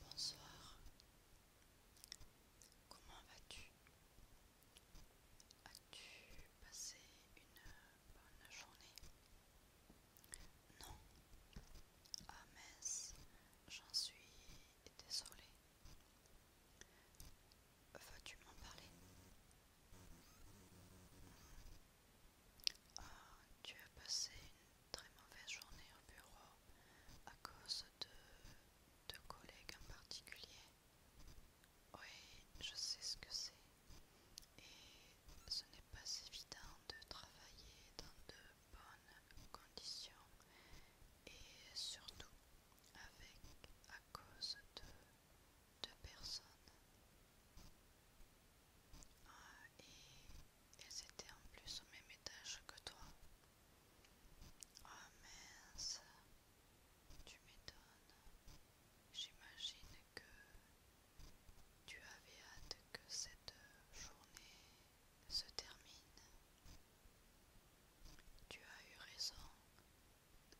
Bonsoir. Comment vas-tu As-tu passé une bonne journée Non. Ah mince, j'en suis désolée. Veux-tu m'en parler ah, Tu as passé une très mauvaise journée au bureau à cause de, de collègues en particulier. Oui, je sais ce que c'est. Et ce n'est pas évident de travailler dans de bonnes conditions et surtout avec à cause de deux personnes ah, et elles étaient en plus au même étage que toi. Ah mince, tu m'étonnes. J'imagine que tu avais hâte que cette journée se termine. Tu as eu raison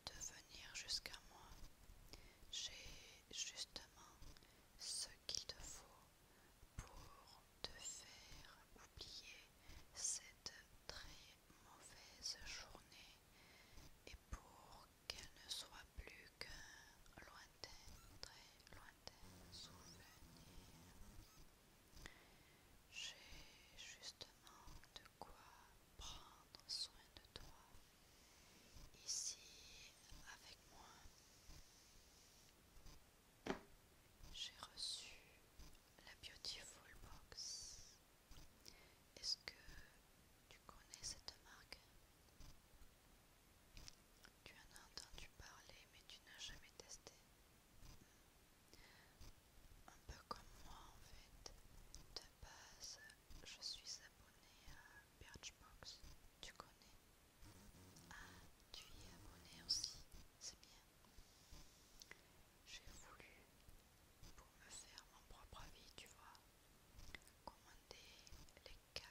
de venir jusqu'à moi. J'ai justement ce qu'il te faut pour te faire oublier cette très mauvaise journée et pour qu'elle ne soit plus qu'un lointain, très lointain souvenir. J'ai justement quoi prendre soin de toi ici avec moi. J'ai reçu la Beautiful Box. Est-ce que tu connais cette marque Tu en as entendu parler mais tu n'as jamais testé. Un peu comme moi en fait. De base, je suis abonnée à Birchbox. Tu connais Ah, tu y es abonné aussi. C'est bien. J'ai voulu, pour me faire mon propre avis, tu vois, commander les 4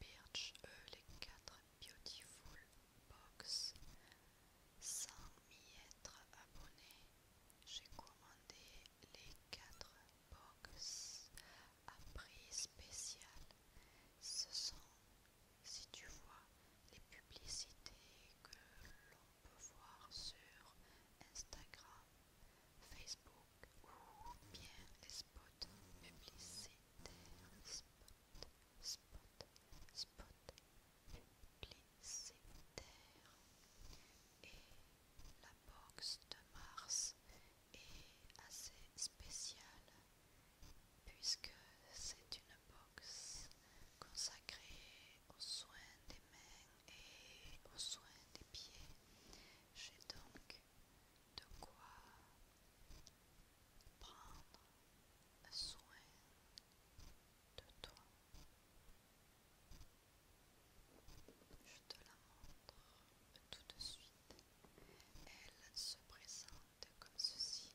Birch, euh, les 4 Beautiful Box sans m'y être abonné j'ai commandé les quatre box à prix spécial. Ce sont, si tu vois, les publicités que l'on peut voir sur Instagram, Facebook ou bien les spots publicitaires. Spot, spot, spot, terre et la boxe de Mars est assez spéciale puisque c'est une boxe consacrée aux soins des mains et aux soins des pieds. J'ai donc de quoi prendre soin de toi. Je te la montre tout de suite. Elle se présente comme ceci.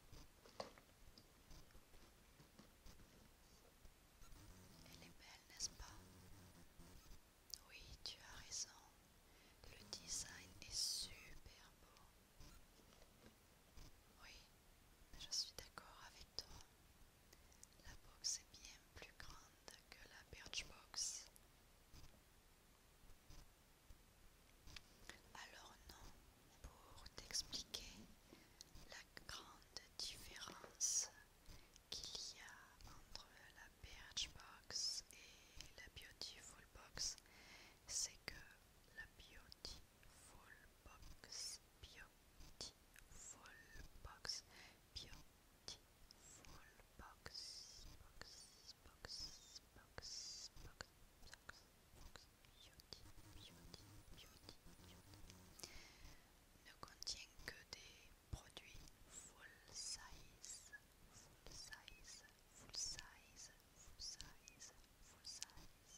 Elle est belle, n'est-ce pas Oui, tu as raison. Le design est super beau. Oui, je suis d'accord avec toi. La box est bien plus grande que la Birchbox. Alors non, pour t'expliquer la grande différence qu'il y a entre la Birchbox et la full Box, c'est que la Full Box, Full Box, Beautiful Box, Box, Box, Box, Box, Box, Beauty, Beauty, Beauty, Beauty, ne contient que des produits full size, full size, full size, full size, full size.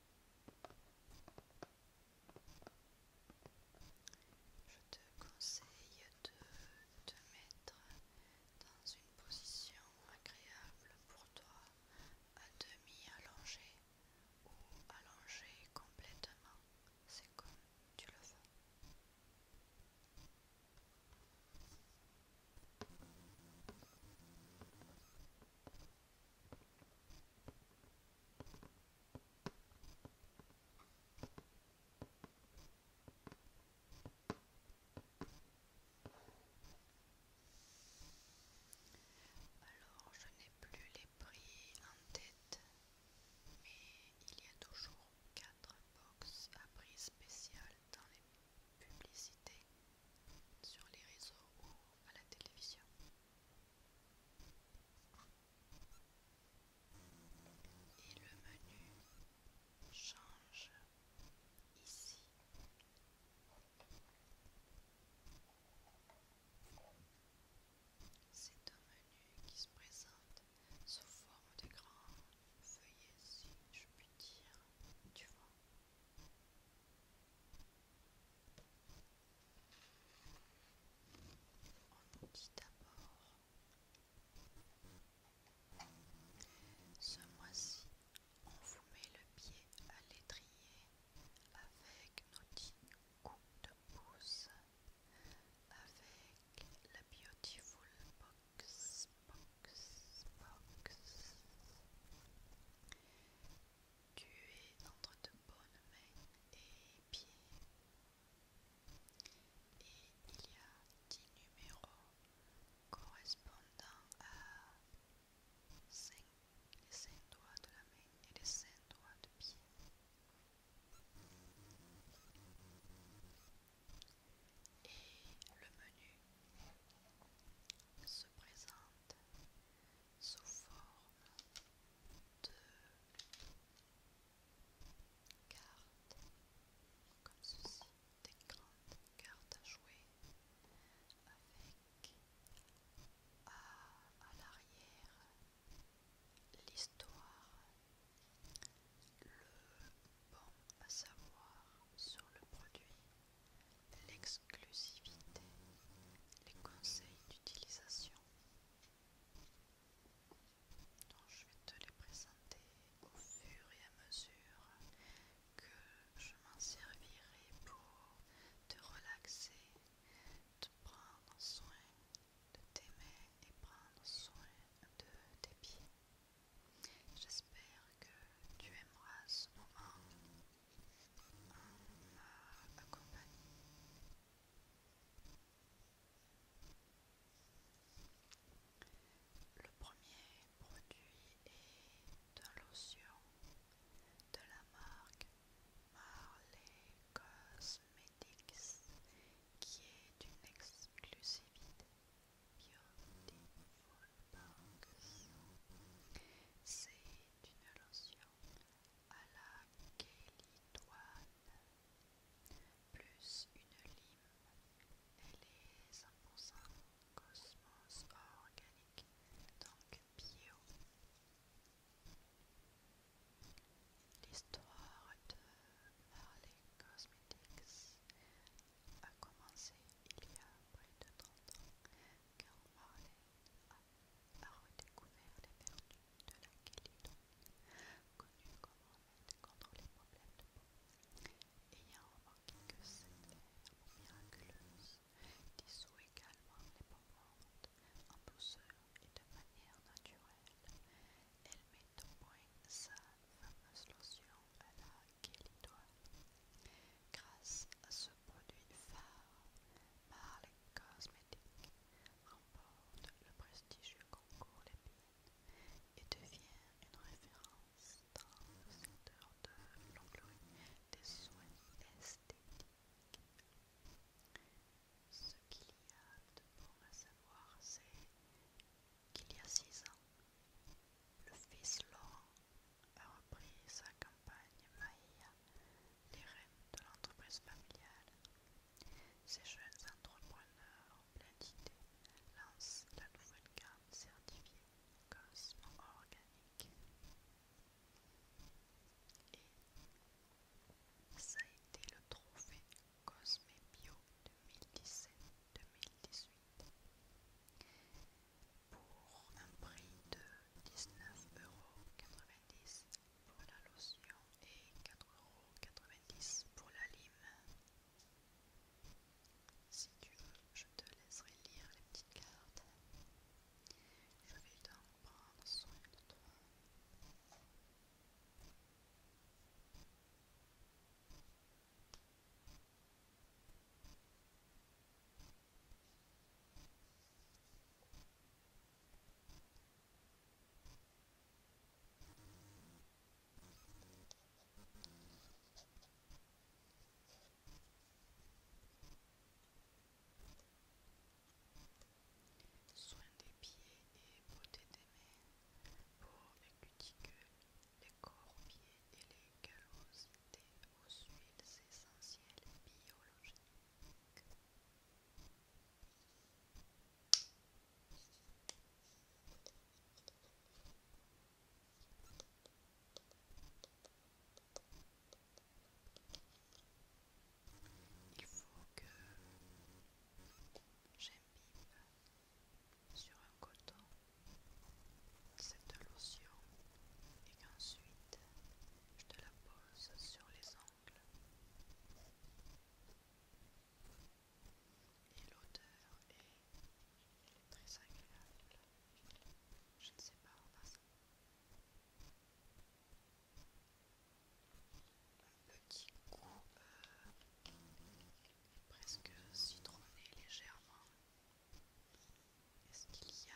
Je te conseille de te mettre dans une position agréable pour toi, à demi allongé ou allongé complètement, c'est comme tu le veux. Alors, je n'ai plus les prix en tête, mais il y a toujours 4 box à prix spécial dans les publicités sur les réseaux ou à la télévision. Et le menu change ici. C'est un menu qui se présente sous forme de grands feuillets, si je puis dire, tu vois dit d'abord, ce mois-ci, on vous met le pied à l'étrier avec nos dix coups de pouce, avec la Beautiful Box, Box, Box. Tu es entre de bonnes mains et pieds. Et il y a 10 numéros correspondant à les cinq doigts de la main et les cinq doigts de pied. Et le menu se présente sous forme de cartes comme ceci, des grandes cartes à jouer avec à, à l'arrière l'histoire, le bon à savoir sur le produit l'exclusivité, les conseils d'utilisation. je vais te les présenter au fur et à mesure que je m'en servirai pour te relaxer, te prendre soin de tes mains et prendre soin de tes pieds. J'espère que tu aimeras ce moment le premier produit est un lotion de la marque Marley Cosmetics qui est une exclusivité Beautiful C'est une lotion à la kélitoane, plus une lime et les 100% cosmos organique, donc bio. L'histoire de Harley Cosmetics a commencé il y a près de 30 ans quand Marley a redécouvert les vertus de la chélidon, connue comme remède contre les problèmes de peau, ayant remarqué que cette herbe miraculeuse dissout également les pommes en douceur et de manière naturelle. Elle met au point sa fameuse lotion à la chélidoine grâce ce produit phare, par les cosmétiques remporte le prestigieux concours Lépine et devient une référence dans le secteur de l'onglerie des soins esthétiques. Ce qu'il y a de bon à savoir, c'est qu'il y a six ans, le fils Laurent a repris sa campagne campagne les reines de l'entreprise familiale. Ces jeunes entrepreneurs en pleine idée lancent la nouvelle carte certifiée Cosmo Organique. Et ça a été le trophée Cosme Bio 2017-2018 pour un prix de euros pour la lotion et 4,90€ pour la lime. Si tu veux, je te laisserai lire les petites cartes. Je vais donc prendre soin de toi. Soin des pieds et beauté des mains, pour les cuticules, les corps-pieds et les callosités aux huiles essentielles biologiques. Il faut que j'imbibe sur un coton cette lotion et qu'ensuite je te la pose sur les angles. Et l'odeur est très agréable. Je ne sais pas en Un petit goût euh, presque citronné légèrement. Est-ce qu'il y a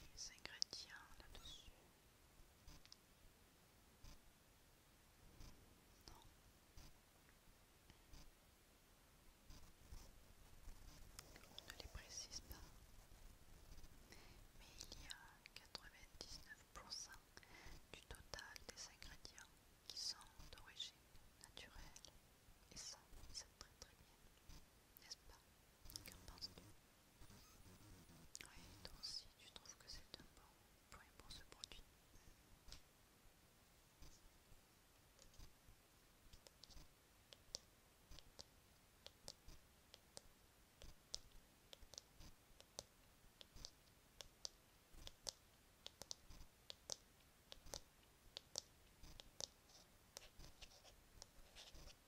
des ingrédients là-dessus Non. On ne les précise pas. Mais il y a 99% du total des ingrédients qui sont d'origine naturelle. Et ça, c'est très très bien. N'est-ce pas Qu'en penses-tu oui, donc si tu trouves que c'est un bon point pour ce produit.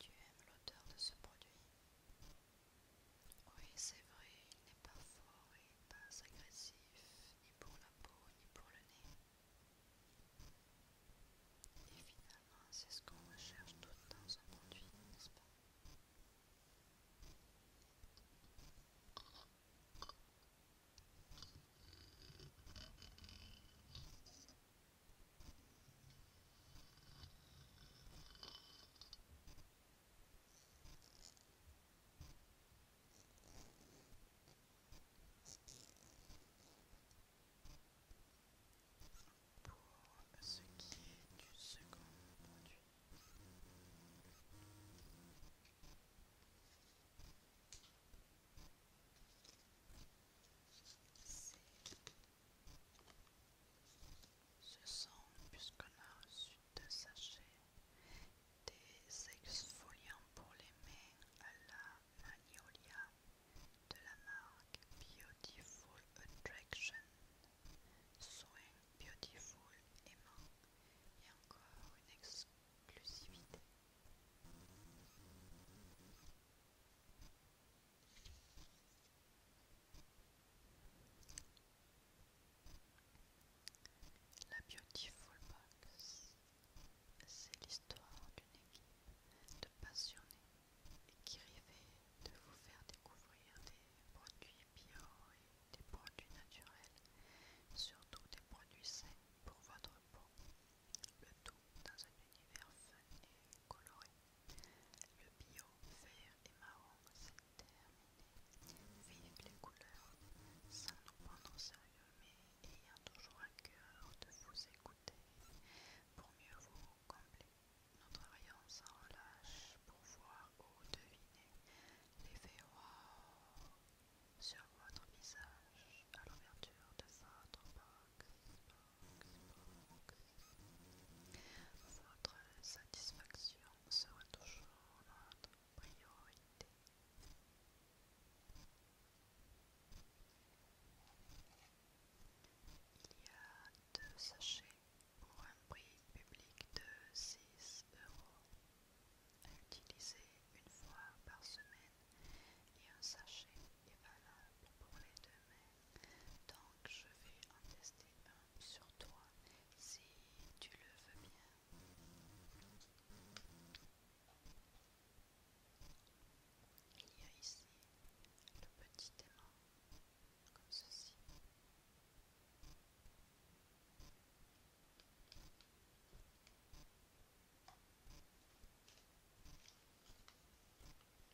Tu aimes l'odeur de ce produit Oui, c'est vrai, il n'est pas fort et pas agressif, ni pour la peau, ni pour le nez. Et finalement, c'est ce qu'on recherche tout dans un produit, n'est-ce pas pour ce qui est du second produit. C'est ce sont, puisqu'on a reçu deux sachets, des exfoliants pour les mains à la Magnolia de la marque Beautiful Attraction. Soin Beautiful aimant et encore une exclusivité. La Beautiful Box, c'est l'histoire d'une équipe de passionnés qui rêvait de vous faire découvrir des produits bio et des produits naturels, surtout des produits sains pour votre peau, dans un univers fun et coloré. Le bio, vert et marron, s'est terminé. Vive les couleurs, sans nous prendre au sérieux, mais ayant toujours à cœur de vous écouter pour mieux vous combler. Notre rayon sans relâche pour voir ou deviner l'effet wow sur votre visage à l'ouverture de votre box. Votre satisfaction sera toujours notre priorité. Il y a deux sachets pour un prix public de 6 euros à utiliser une fois par semaine et un sachet est valable pour les deux donc je vais en tester un sur toi si tu le veux bien. Il y a ici le petit aimant comme ceci.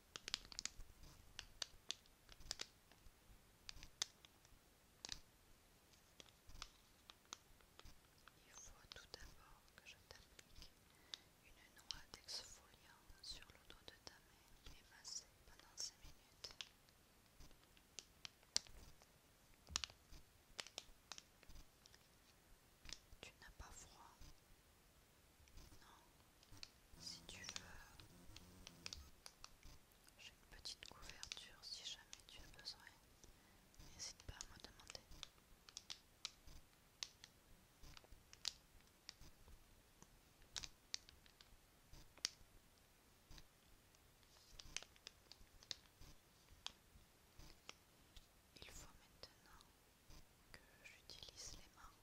Il faut tout d'abord que je t'applique une noix d'exfoliant sur le dos de ta main et masser pendant 5 minutes. Tu n'as pas froid non, si tu veux, j'ai une petite couverture si jamais tu as besoin. N'hésite pas à me demander. Il faut maintenant que j'utilise les mains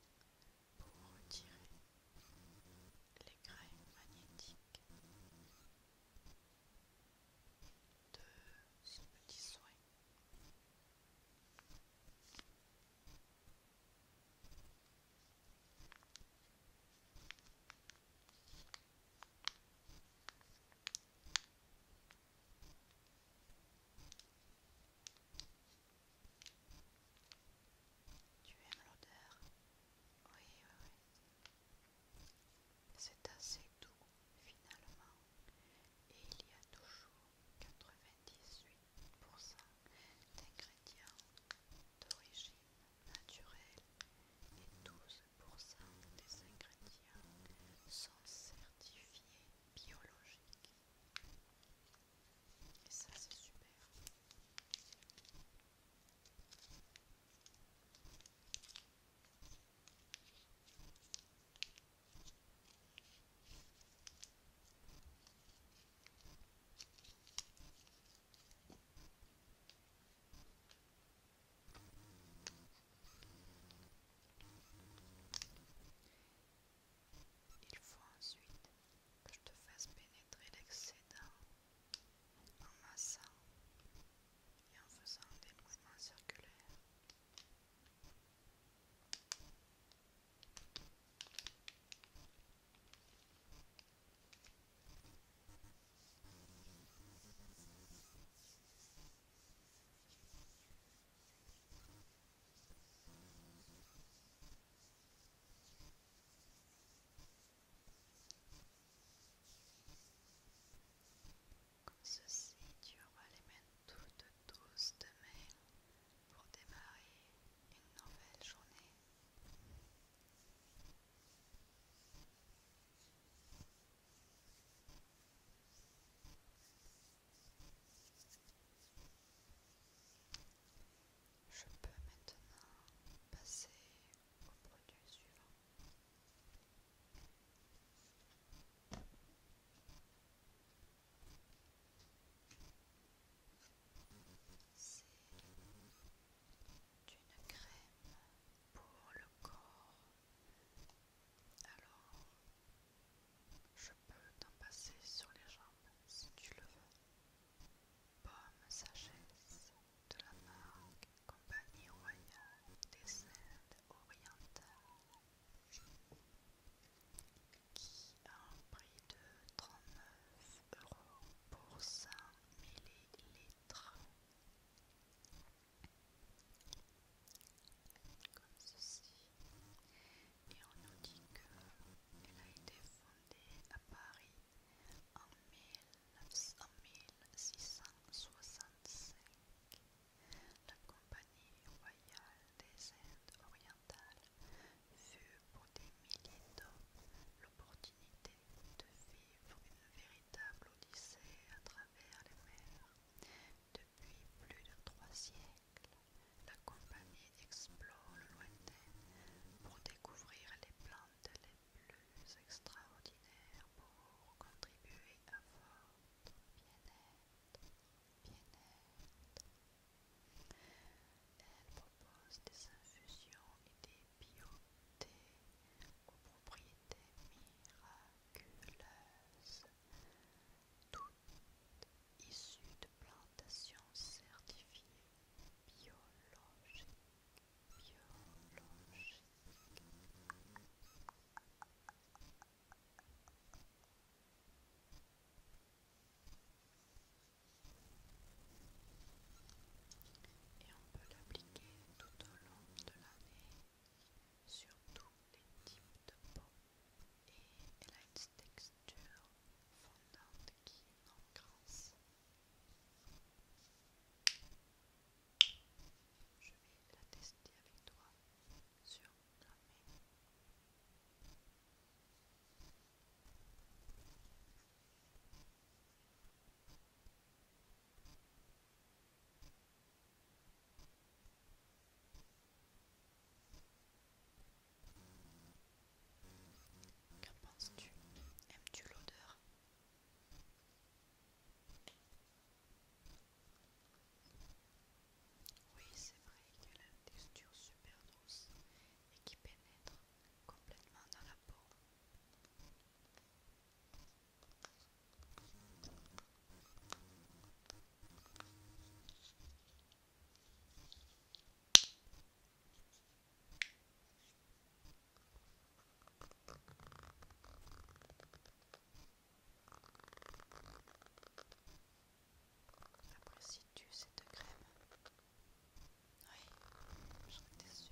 pour retirer les graines magnétiques de ce petit soin. Tu aimes l'odeur Oui, oui, oui. C'est assez doux finalement. Et il y a toujours 98% d'ingrédients d'origine naturelle et 12% des ingrédients sont certifiés biologiques. Et ça, c'est super. Il faut ensuite que je te fasse pénétrer l'excédent en massant et en faisant des mouvements circulaires. Comme ceci, tu auras les mains toutes de demain pour démarrer une nouvelle journée. Je peux maintenant passer au produit suivant. C'est une crème pour le corps. Alors, je peux t'en passer sur les jambes si tu le veux. Pomme sagesse de la marque Compagnie Royale des Indes Orientales qui a un prix de 39 euros pour 100 millilitres. Comme ceci. Et on nous dit qu'elle a été fondée à Paris en 1665. La Compagnie royale des Indes orientales fut pour des milliers d'hommes l'opportunité de vivre une véritable odyssée à travers les mers. Depuis plus de trois siècles, la Compagnie explore le lointain pour découvrir les plantes les plus extraordinaires pour contribuer à votre bien-être. Elle propose des infusions et des biothés aux propriétés miraculeuses, toutes issues de plantations certifiées biologique, biologique. Et on peut l'appliquer tout au long de l'année sur tous les types de peau. Et elle a une texture fondante qui grâce je vais la tester avec toi sur la main. Qu'en penses-tu Aimes-tu l'odeur Oui, c'est vrai qu'elle a une texture super douce et qui pénètre complètement dans la peau. Apprécies-tu cette crème Oui, j'en suis sûre.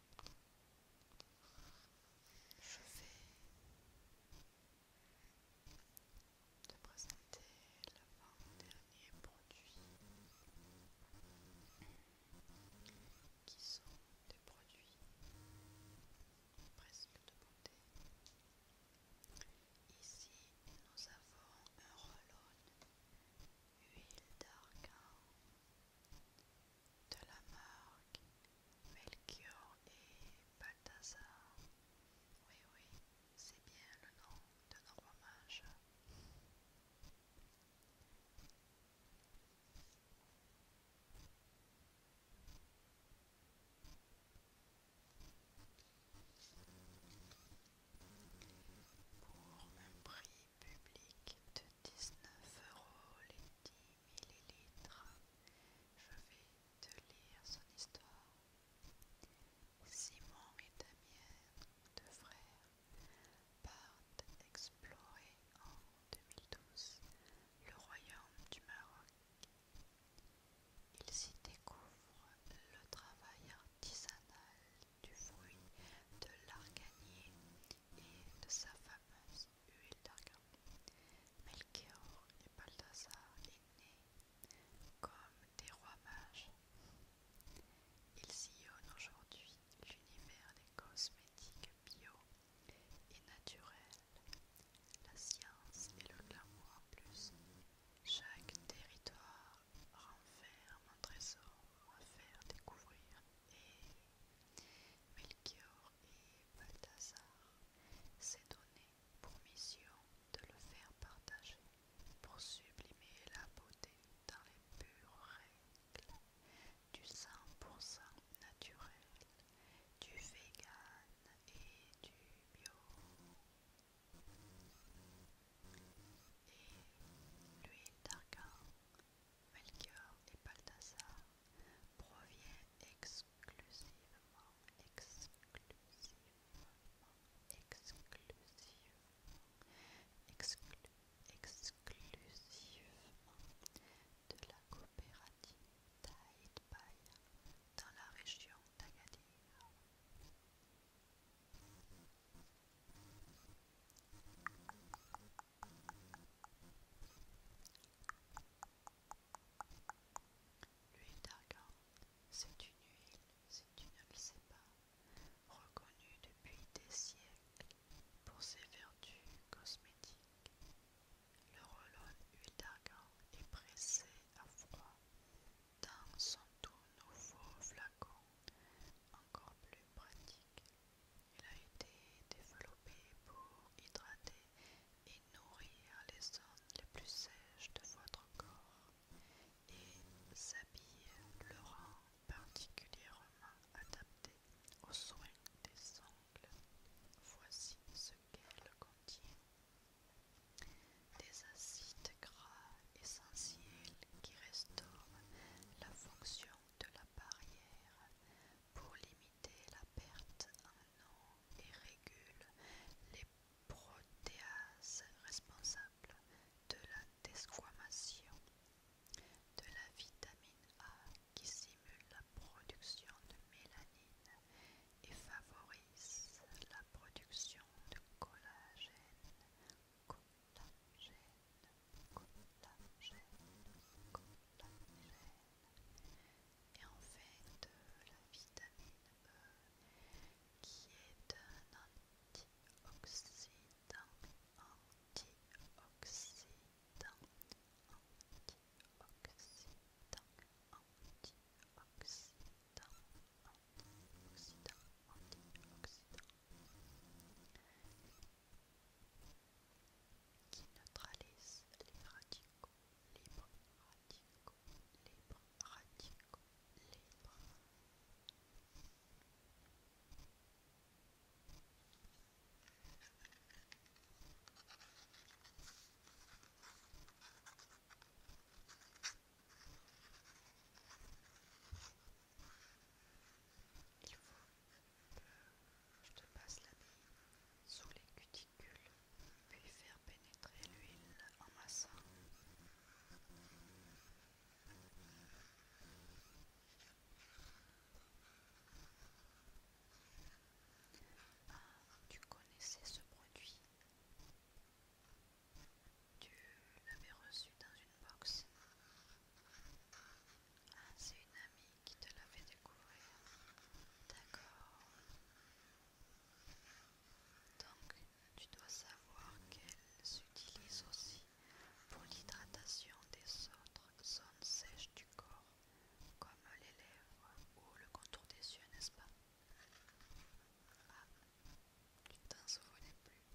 Je vais te présenter l'avant-dernier produit qui sont des produits presque de beauté. Ici, nous avons un roll-on huile d'argan de la marque Melchior et Balthazar. Oui, oui, c'est bien le nom de nos hommage. Pour un prix public de 19 euros les 10 millilitres. Je vais te lire son histoire. Simon et Damien, deux frères, partent explorer en 2012 le royaume du Maroc. Ils y découvrent le travail artisanal du fruit de l'arganier et de sa fameuse huile d'argan. Melchior et Balthazar est né comme des rois mages. Ils sillonnent aujourd'hui l'univers des cosmétiques bio et naturels, la science et le glamour en plus. Chaque territoire renferme un trésor à faire découvrir et Melchior et Balthazar s'est donné pour mission de le faire partager pour sublimer la beauté dans les pures règles du 100% naturel, du vegan et du bio. Et l'huile d'argan Melchior et Balthazar proviennent exclusivement, exclusivement, exclusivement, de la coopérative Taïd dans la région d'Agadir. L'huile d'argan, c'est une huile, si tu ne le sais pas, reconnue depuis des siècles pour ses vertus cosmétiques. Le Rolone huile d'argan est pressé à froid dans son tout nouveau flacon, encore plus pratique il a été développé pour hydrater et nourrir les zones les plus sèches de votre corps et s'habille le rend particulièrement adapté aux soins des ongles. Voici ce qu'elle contient. Des acides gras essentiels qui restaurent la fonction de la barrière pour limiter la perte en eau et régule les protéases responsables de la désquamation de la vitamine A qui simule la production de mélanine et favorise la production de collagène. Et en fait, euh, la vitamine E qui est un antioxydant, antioxydant, antioxydant, antioxydant, antioxydant, antioxydant qui neutralise les radicaux libres, radicaux libres, radicaux libres. Je te passe la bille sous les cuticules, puis faire pénétrer l'huile en massant. Ah, tu connaissais ce produit Tu l'avais reçu dans une box ah, c'est une amie qui te l'avait découvert. D'accord. Donc, tu dois savoir qu'elle s'utilise aussi pour l'hydratation des autres zones sèches du corps, comme les lèvres ou le contour des yeux, n'est-ce pas Ah, tu ne t'en souvenais plus.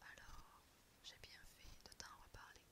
Alors, j'ai bien fait de t'en reparler.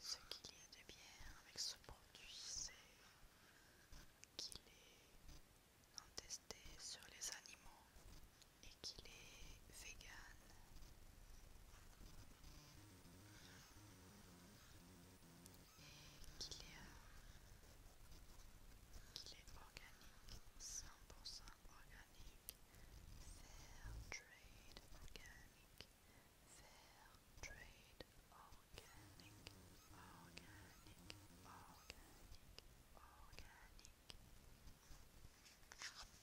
Ce qu'il y a de bien avec ce produit, c'est qu'il est non testé sur les animaux et qu'il est vegan. Et qu'il est, euh, qu est organique, 100% organique, fair trade organique, fair trade organique, organique, organique, organique.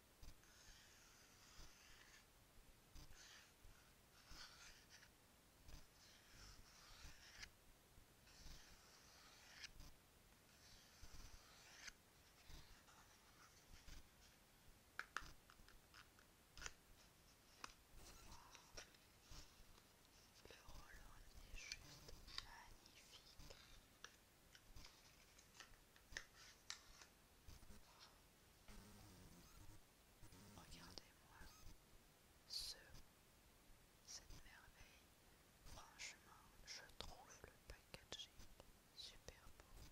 Le roll-on est juste magnifique. Regardez-moi ce, cette merveille. Franchement, je trouve le packaging super beau.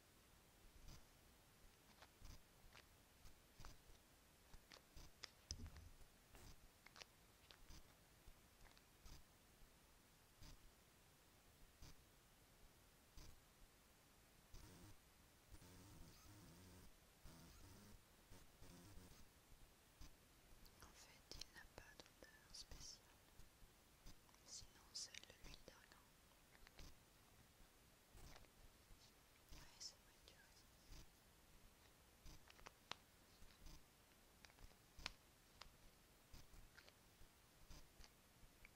En fait, il n'a pas d'odeur spéciale. Sinon, c'est le l'huile d'argent. Oui, c'est vrai,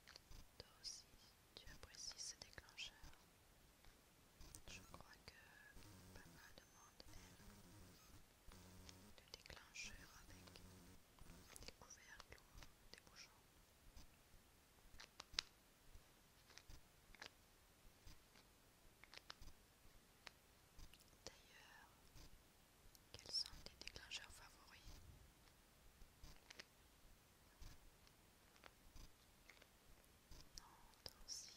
tu Toi aussi, tu apprécies ce déclencheur. Je crois que papa demande, de le déclencheur avec des couvercles ou des bouchons. D'ailleurs, quels sont tes déclencheurs favoris Non, toi aussi.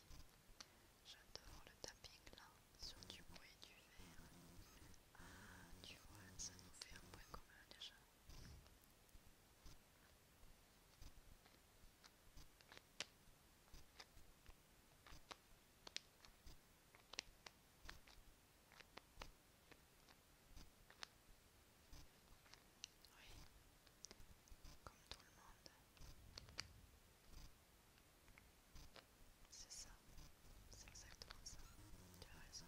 J'adore le tapping là, sur du bruit du verre. Ah, tu vois, ça nous fait un point commun déjà. Oui, comme tout le monde. C'est ça, c'est exactement ça. Tu as raison.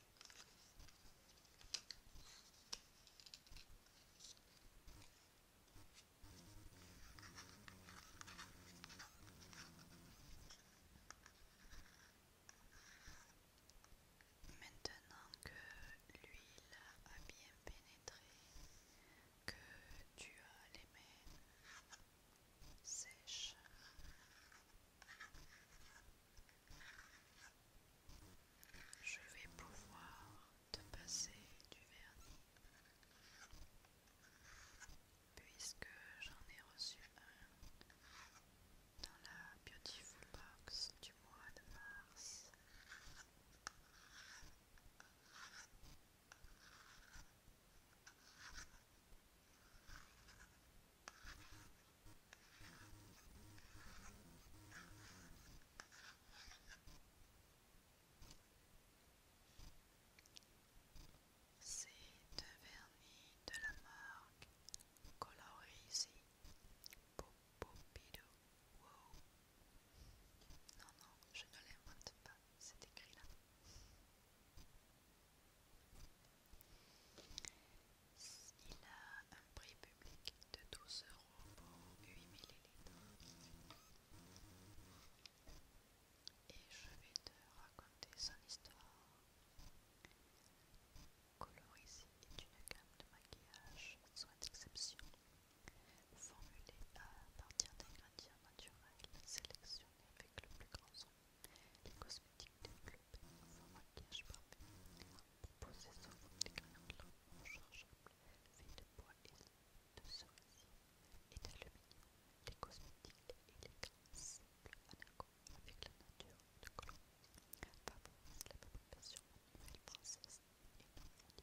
Maintenant que l'huile a bien pénétré, que tu as les mains sèches, je vais pouvoir te passer du vernis puisque j'en ai reçu un dans la Beautiful Box du mois de mars. C'est de vernis de la marque colorisée Oh Non, non, je ne l'invente pas, c'est écrit là. Il a un prix public de 12 euros pour 8 ml. Et je vais te raconter son histoire. Colorisi est une gamme de maquillage soit d'exception formulée à partir d'ingrédients naturels sélectionnés avec le plus grand soin. Les cosmétiques clubs club un maquillage parfait possédant des grains longs rechargeables faits de bois et de cerisier et d'aluminium, les cosmétiques et les glaces, en accord avec la nature de Colombie, favorisent la fabrication française et non mondiale.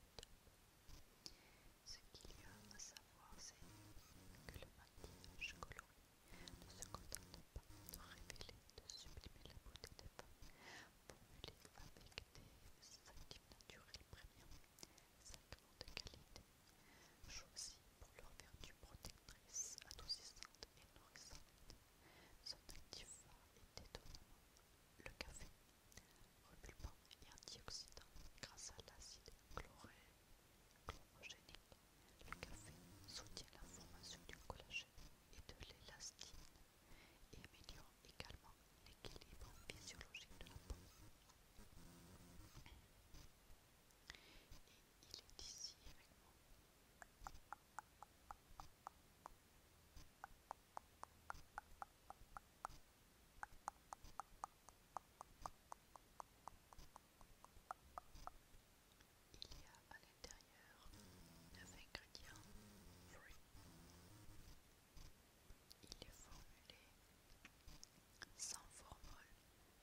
Ce qu'il y a à savoir, c'est que le maquillage coloré ne se contente pas de révéler, de sublimer la beauté des femmes, formulé avec des actifs naturels premium, sacrement de qualité, choisis pour leur vertu protectrice, adoucissante et nourrissante. Son actif est le café, repulpant et antioxydant grâce à l'acide chloré, chlorogénique. Le café soutient la formation du collagène et de l'élastine améliore également l'équilibre physiologique de la peau. Et il est ici avec moi. Il 9 ingrédients Il est formulé sans formol,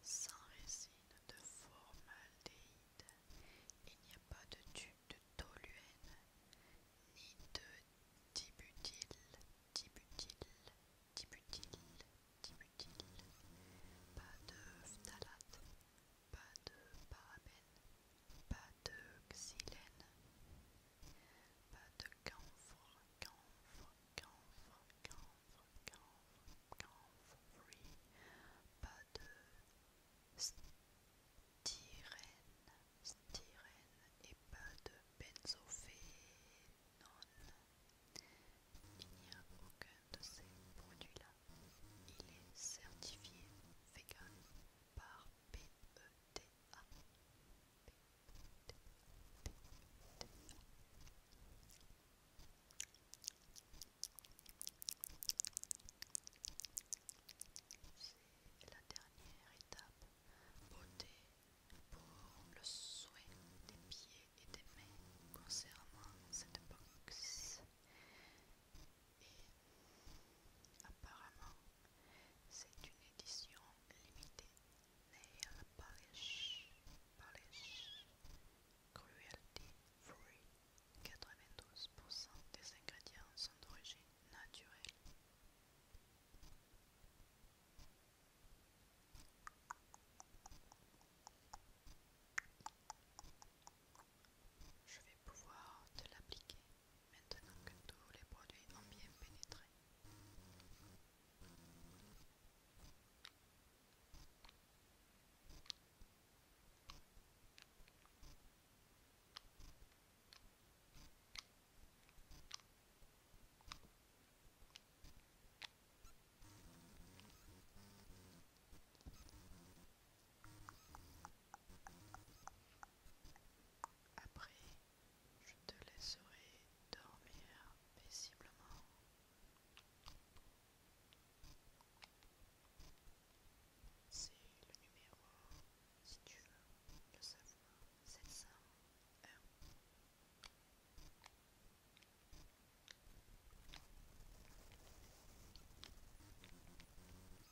sans résine de formaldéhyde. Il n'y a pas de tube de toluène, ni de dibutyl, dibutyl, dibutyl, dibutyl, pas de phtalate, pas de parabènes pas de xylène, pas de camphre, camphre, camphre, camphre, camphre, camphre, pas de styrène, styrène et pas de benzophénone. Il n'y a aucun de ces produits-là. Il est certifié végan par e C'est la dernière étape beauté pour le souhait des pieds et des mains concernant cette box et apparemment c'est une édition limitée mais à la Cruelty Free. 92% des ingrédients sont d'origine naturelle. Je vais pouvoir te l'appliquer maintenant que tous les produits ont bien pénétré. Après, je te laisserai dormir paisiblement. C'est le numéro, si tu veux le savoir, 701.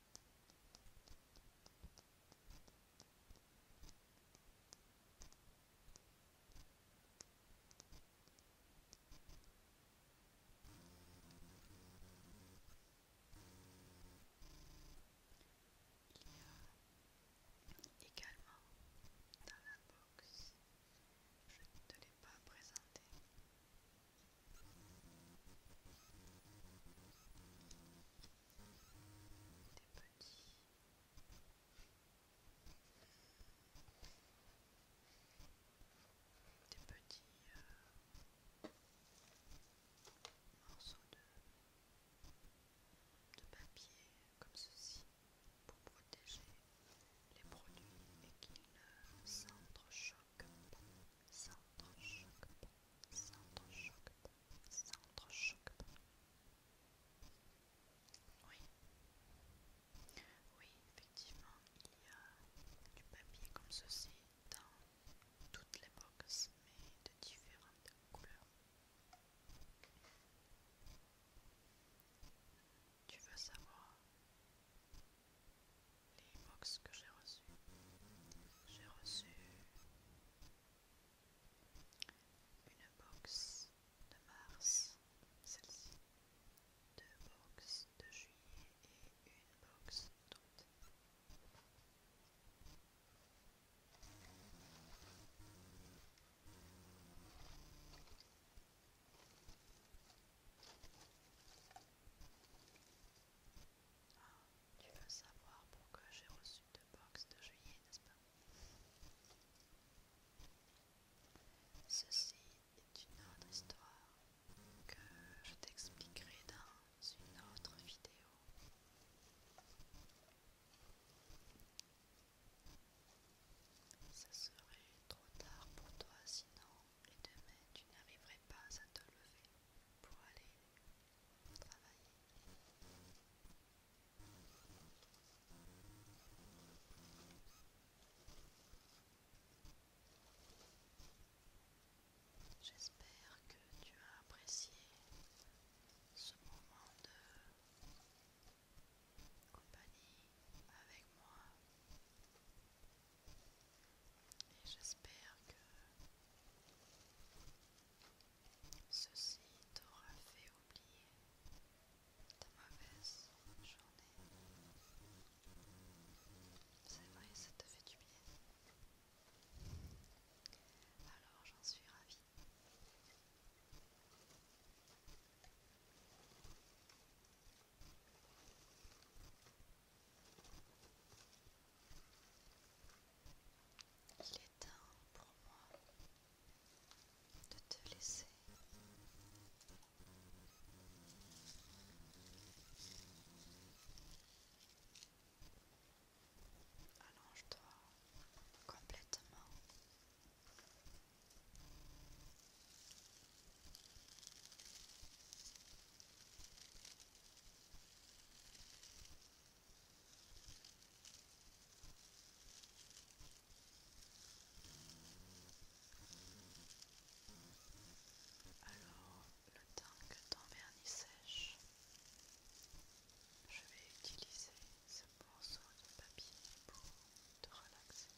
également dans la box, je ne te l'ai pas présenté des petits euh, morceaux de, papier comme ceci pour protéger les produits et qu'ils ne Centre choc. Centre choc. Oui. Oui, effectivement, il y a du papier comme ceci dans toutes les boxes, mais de différentes couleurs. Tu veux savoir les boxes que j'ai reçues J'ai reçu une box de mars, celle-ci. Deux box de juillet et une box d'août. Tu veux savoir pourquoi j'ai reçu deux box de juillet, n'est-ce pas Ceci est une autre histoire que je t'expliquerai dans une autre vidéo. Ça serait trop tard pour toi sinon, et demain tu n'arriverais pas à te lever pour aller J'espère que tu as apprécié ce moment de compagnie avec moi et j'espère que Ceci t'aura fait oublier ta mauvaise journée. C'est vrai, ça te fait du bien. Alors j'en suis ravie. Il est temps pour moi de te laisser. Allonge-toi complètement. Alors, le temps que ton vernis sèche, je vais utiliser ce morceau de papier pour te relaxer.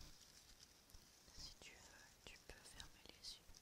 Si tu veux, tu peux fermer les yeux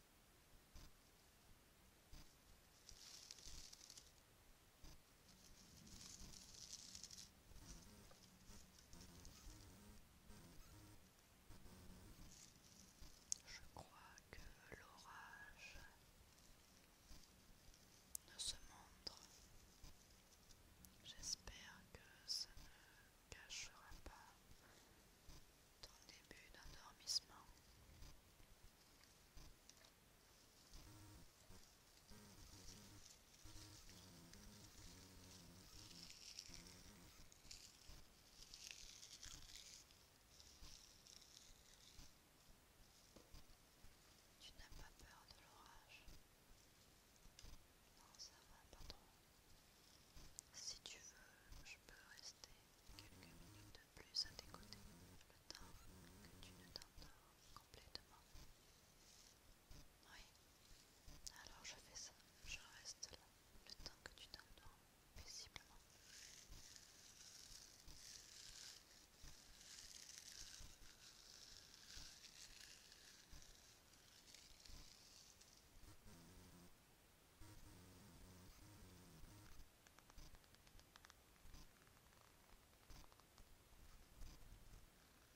Je crois que l'orage ne se montre. J'espère que ça ne cachera pas ton début d'endormissement. Tu n'as pas peur de l'orage Non, ça va pas Si tu veux, je peux rester quelques minutes plus à tes le temps que tu ne t'endors complètement. Oui, alors je fais ça, je reste là le temps que tu t'endors paisiblement.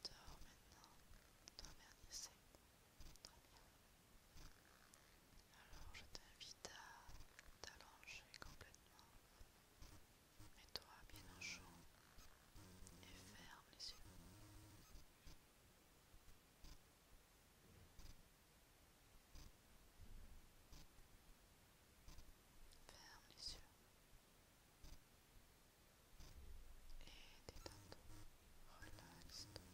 Dors maintenant, t'emmernisser. Très bien. Alors je t'invite à t'allonger complètement. Mets-toi bien au chaud et ferme les yeux. Ferme les yeux. Et détends-toi. Relaxe-toi.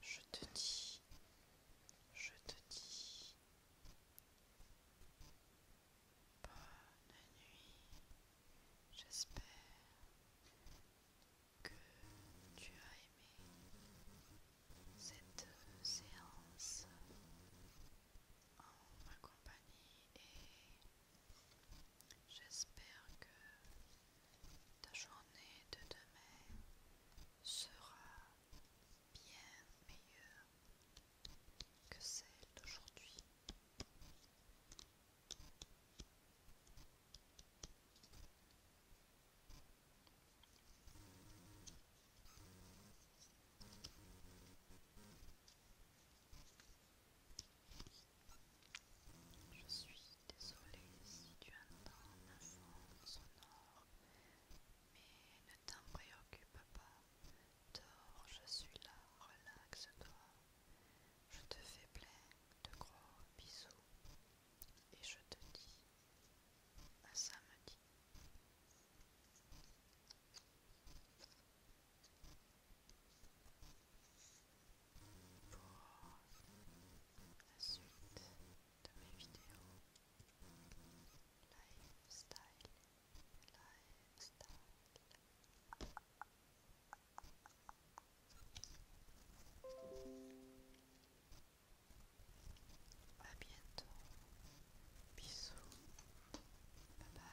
Je te dis, je te dis, Bonne nuit. J'espère que tu as aimé cette séance en ma compagnie et j'espère que ta journée de demain sera bien meilleure que celle d'aujourd'hui. Je suis désolée si tu entends un fond sonore, mais ne t'en préoccupe pas. Dors, je suis là, relaxe-toi. Je te fais plein de gros bisous. Et je te dis à samedi. Pour la suite de mes vidéos, lifestyle à bientôt bisous bye bye